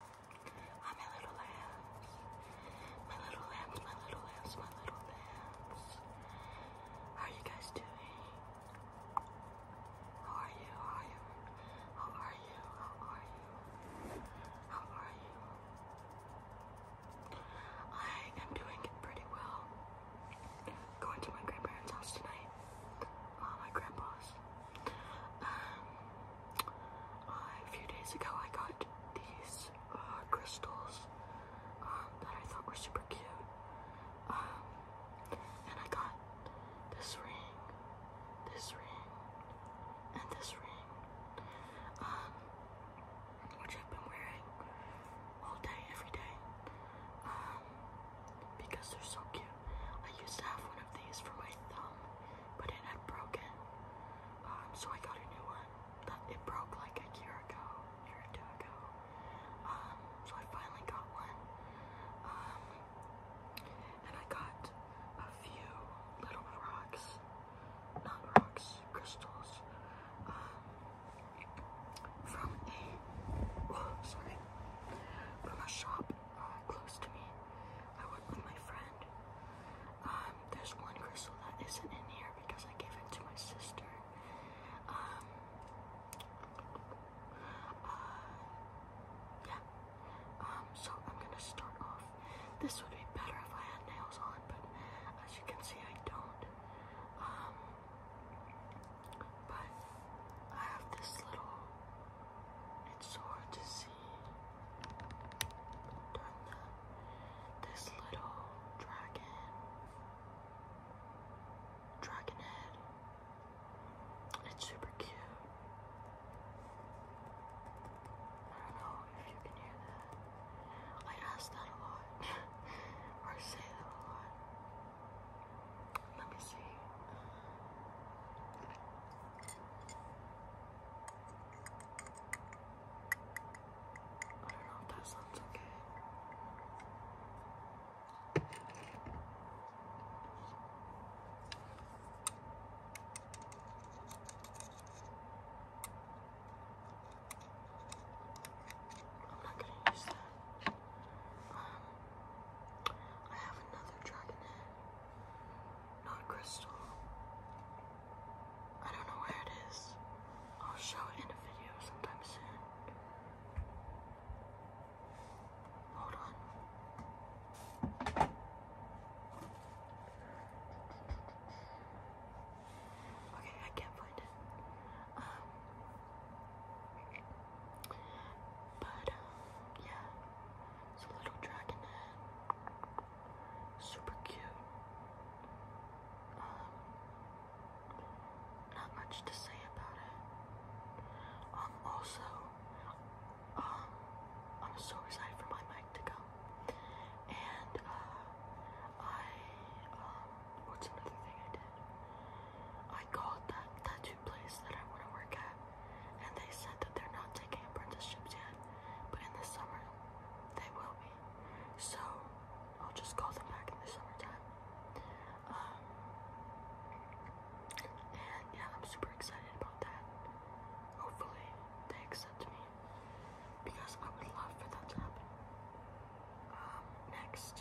Ah, my little lambs. My little lambs, my little lambs, my little lambs. How are you guys doing? How are you? How are you? How are you? How are you? I am doing pretty well. Going to my grandparents' house tonight. my grandpa's. Um, uh, a few days ago, I got these uh, crystals um, that I thought were super cute. Um, and I got this ring, this ring, and this ring, um, which I've been wearing all day, every day, because they're so cute. I used to have one of these for my thumb, but it had broken. Um, so I got a new one. That it broke like a year ago, year or two ago. Um, so I finally got one. Um, and I got a few little rocks, not rocks, crystals, oh, from a shop uh, close to me. I work with my friend. Um, there's one crystal that isn't in here because I gave it to my sister. Um, uh, yeah. Um, so I'm gonna start off. This would be better if I had nails on, but as you can see, I don't. but I have this little. It's hard to see. Then the, this little dragon, dragon head. It's super cute. I don't know if you can hear that. I ask that a lot, or say that a lot. Let me see. I don't know if that sounds okay. I'm not gonna use that. Um, I have another dragonette. Not crystal. I don't know where it is. I'll show it in a video sometime soon. Hold on. Okay, I can't find it. Um, but um, yeah, it's a little dragonette. Super cute. Um, not much to say about it. Um, also, um, I'm so excited for my mic to come. And, uh, I, what's another thing I did? I called that tattoo place that I want to work at and they said that they're not taking apprenticeships yet, but in the summer they will be. So I'll just call them back in the summertime. Um, and yeah, I'm super excited about that. Hopefully they accept me because I would love for that to happen. Um, next,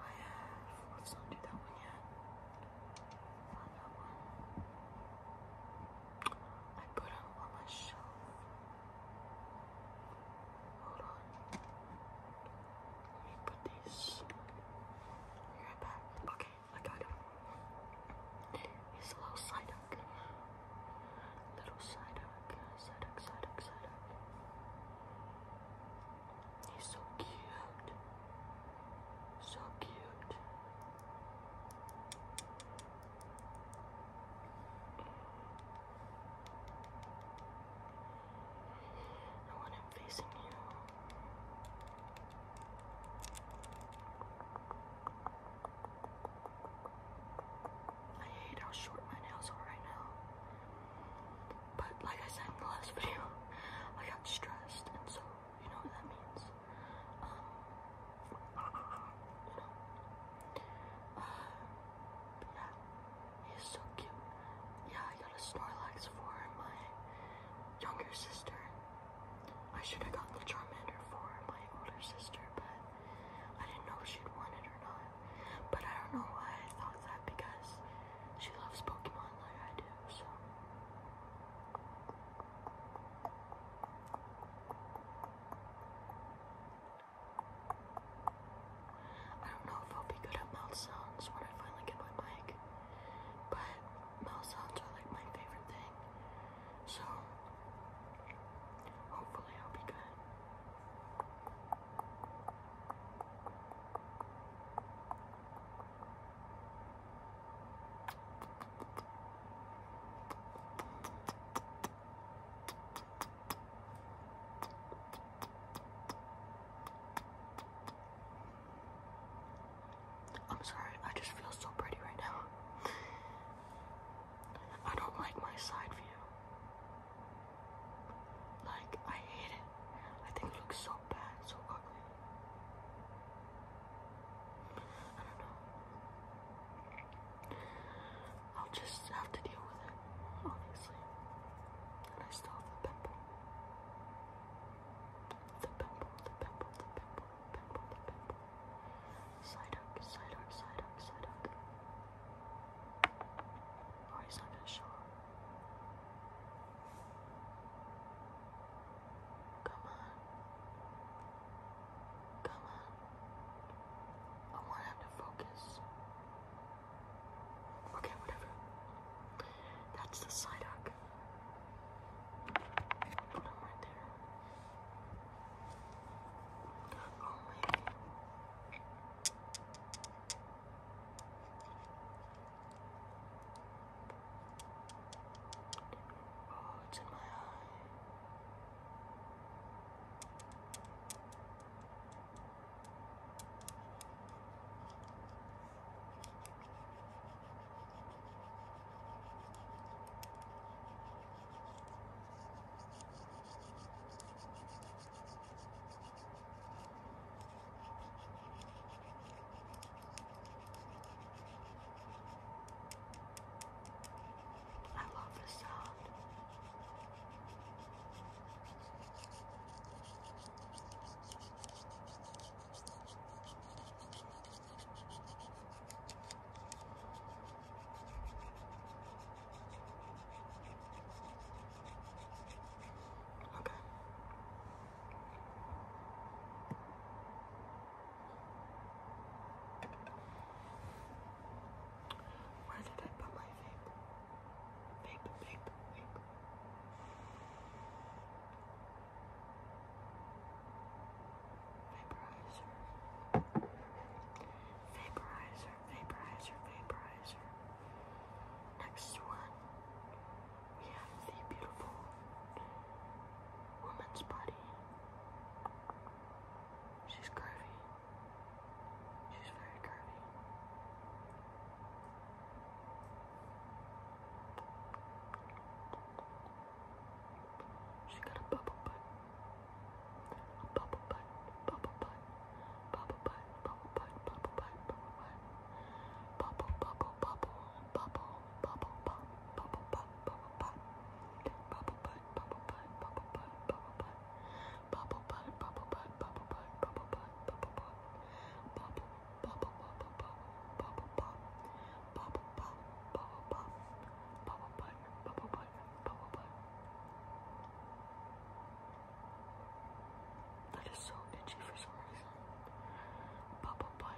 I have, let's not do that one yet. I put them on my shelf. Hold on. Let me put these. Be right back. Okay, I got him. He's a little Psyduck. Little Psyduck. Psyduck, Psyduck, Psyduck. He's so cute. So cute. I want him facing you. I hate how short my nails are right now. But like I said in the last video, I got stressed and so you know what that means um, yeah, he's so cute. Yeah, I got a Snorlax for my younger sister. I should have gotten the Charmander for my older sister, but I didn't know if she'd want it or not. But I don't know why I thought that because she loves Pokemon like I do, so. I don't know if I'll be good at mouth sounds when I finally get my mic, but mouth sounds are like my favorite thing. So hopefully I'll be good. I'm sorry, I just feel so pretty right now. I don't like my side view. Like, I hate it. I think it looks so bad, so ugly. I don't know. I'll just have to deal with it, obviously. I still have the pimple. The pimple, the pimple, the pimple, pimple, the pimple. Psyduck, Psyduck, Psyduck, Psyduck. Oh, he's not gonna show Come on. Come on. I want him to focus. Okay, whatever. That's the side arc. Put him right there. Oh, maybe. Oh, it's in my eye. I love the sound. Okay. Where did I put my vape? Vaporizer. Vaporizer, vaporizer, vaporizer. Next one. We have the beautiful woman's body. She's curvy. She's very curvy. She got a bubble butt. A bubble butt, bubble butt, bubble butt, bubble butt, bubble butt, bubble butt, bubble butt. Bubble, bubble, bubble, bubble, bubble, pop, bubble, pop, bubble, pop, bubble, butt, bubble, butt, bubble, butt, bubble, butt, bubble, butt, bubble, butt, bubble, butt, bubble, butt, bubble, butt, bubble, bubble, bubble, bubble, bubble, pop, bubble, pop, bubble, pop, bubble, butt, bubble, butt, bubble, butt. That is so itchy for some reason. Bubble butt,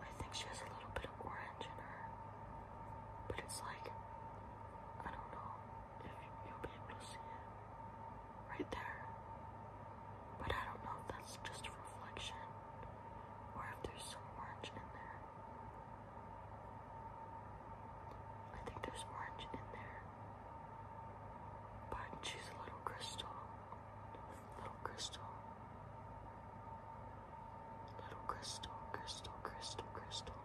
I think she has a little bit of orange in her, but it's like, I don't know if you'll be able to see it right there, but I don't know if that's just a reflection or if there's some orange in there. I think there's orange in there, but she's a little crystal, Little crystal. Little crystal, crystal, crystal, crystal.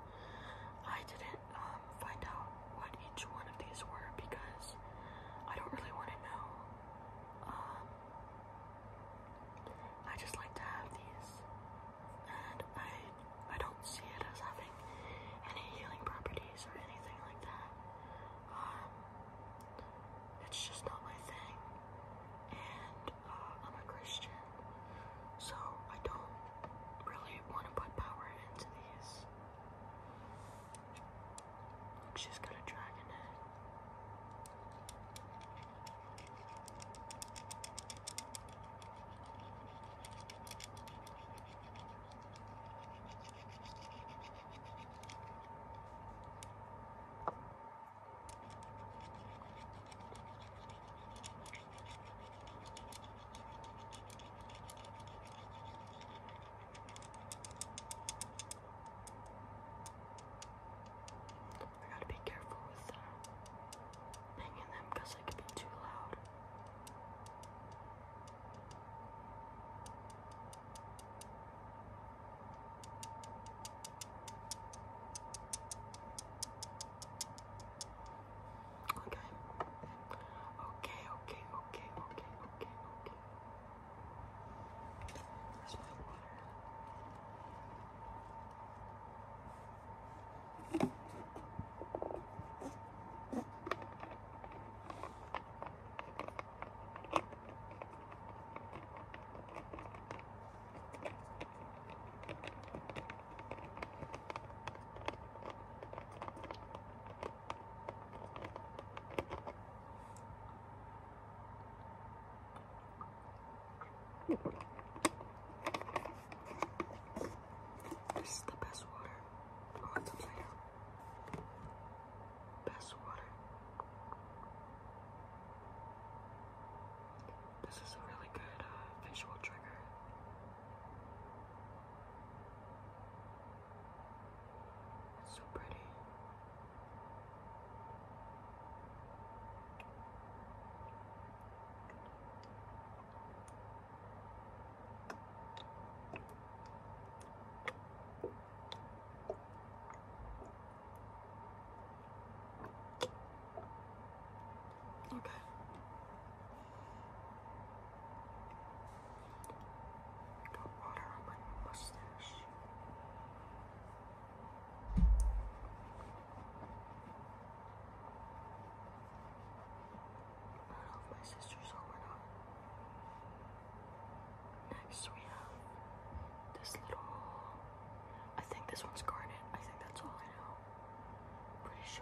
I didn't um, find out what each one of these were because I don't really want to know. Um, I just like to have these, and I I don't see it as having any healing properties or anything like that. Um, it's just not my thing. And uh, I'm a Christian, so I don't really want to put power into these. Look, she's got a I gotta be careful with uh, banging them because I could be too loud. Okay. Okay, okay, okay, okay, okay, okay. Where's my water? This is the best water on oh, the Best water. This is a really good uh, visual trigger. It's so pretty. Okay. Got water on my mustache. I don't know if my sister's home or not. So we have this little, I think this one's garnet. I think that's all I know. pretty sure.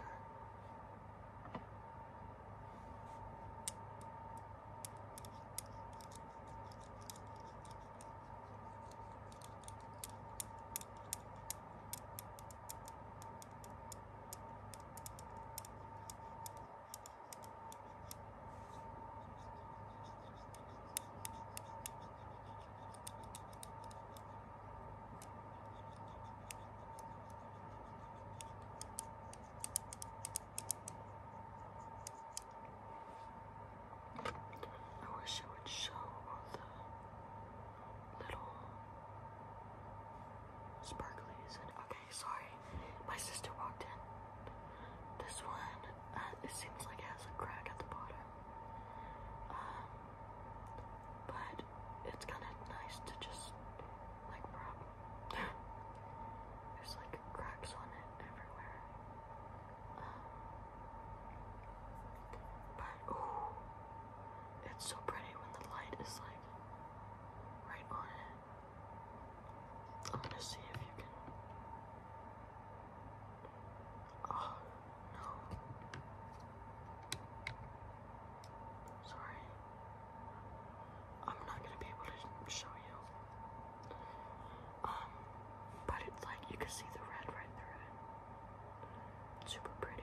I wish it would show all the little sparklies and okay sorry. My sister walked in. This one, uh, it seems like it has a crack at the bottom. Um, but it's kind of nice to just, like, rub. There's, like, cracks on it everywhere. Um, but, ooh, it's so pretty when the light is, like, right on it. I'm gonna see if you can. Oh no. Sorry. I'm not gonna be able to show you. Um, but it's like you can see the red right through it. super pretty.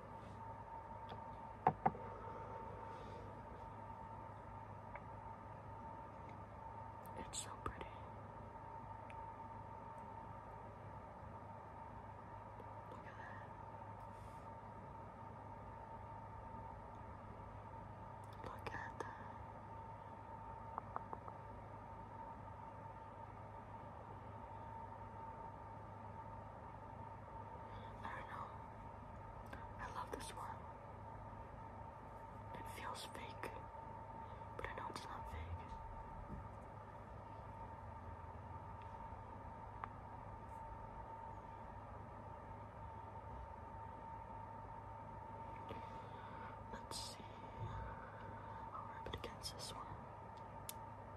It's so pretty. Look at that. Look at that. I don't know. I love this one. It feels fake, but I know it's not fake. Let's see. I'll rub it against this one.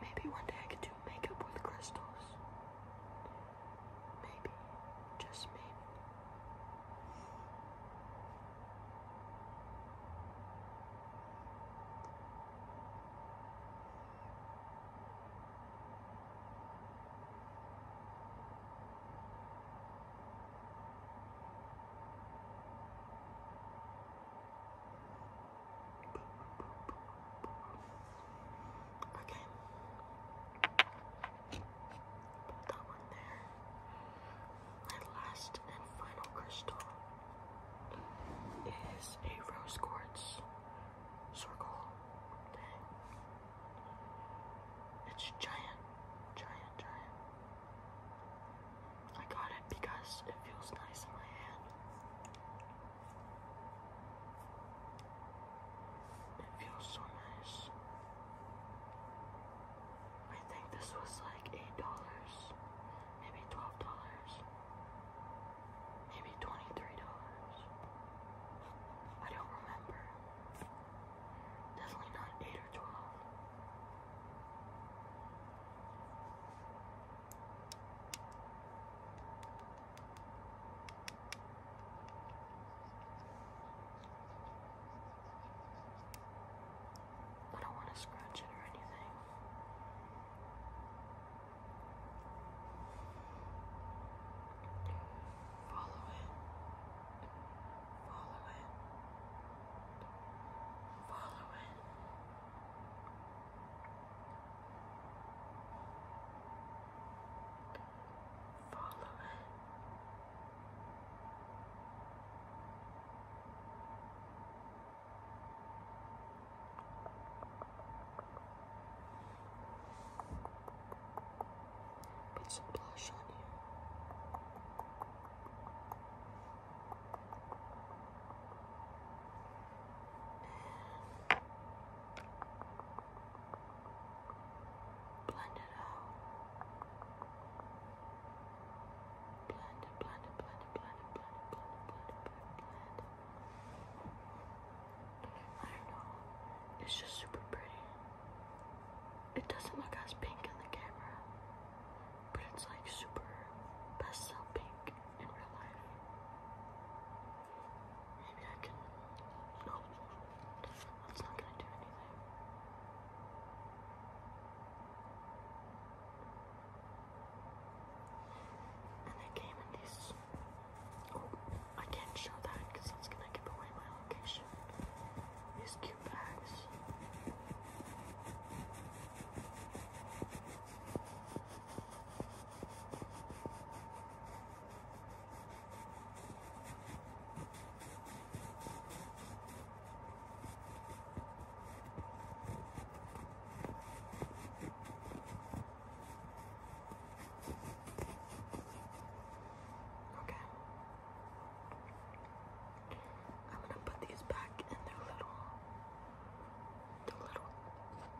Maybe one day I could do makeup with crystals. Maybe, just maybe. Okay. that one there. And last and final crystal is a rose quartz circle. Okay. It's giant, giant, giant. I got it because it feels nice in my hand. It feels so nice. I think this was like eight dollars, maybe twelve dollars, maybe twenty-three dollars. I don't remember. Definitely not eight or twelve. I don't want to scratch it or anything. Follow it. Follow it. Follow it. Follow Put some blush on you. Blend it out. Blend it, blend it, blend it, blend it, blend it, blend it, blend it, blend it. I don't know. It's just super pretty. It doesn't look as pink in the camera but it's like super pastel pink in real life. Maybe I can. No, that's not gonna do anything. And they came in these. Oh, I can't show that because that's gonna give away my location. These cute bags. Okay. I'm gonna put these back in their little the little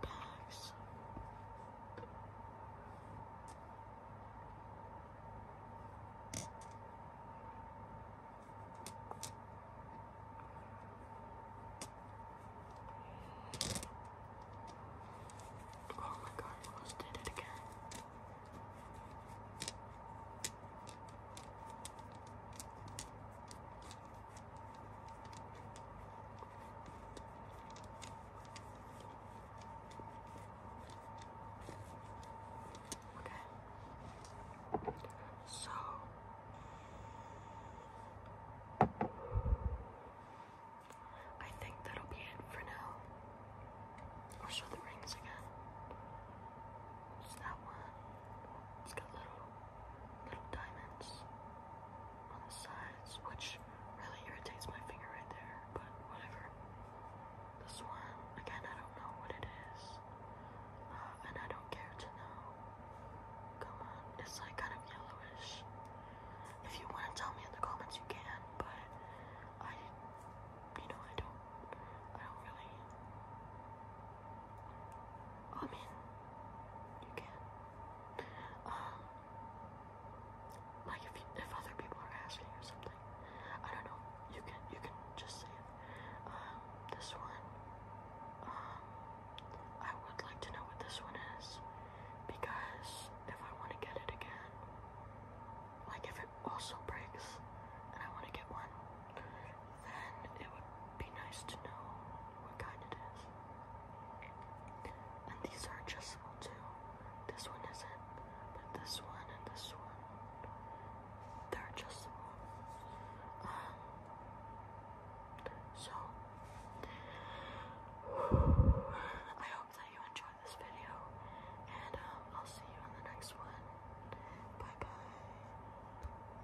bags. Oh my god, I almost did it again. Okay. So I think that'll be it for now. i show the rings again. It's that one. It's got little little diamonds on the sides, which really irritates my finger right there, but whatever. This one, again, I don't know what it is, uh, and I don't care to know. Come on, it's like kind of yellowish. If you want to tell me in the comments, you can, but I, you know, I don't, I don't really I mean, you can. Um, like if if other people are asking or something, I don't know. You can you can just say it. Um, this one. Um, I would like to know what this one is because if I want to get it again, like if it also breaks and I want to get one, and it would be nice to know what kind it is. And these are adjustable too. This one isn't, but this one and this one, they're adjustable. Um, so, I hope that you enjoyed this video, and um, I'll see you in the next one. Bye bye.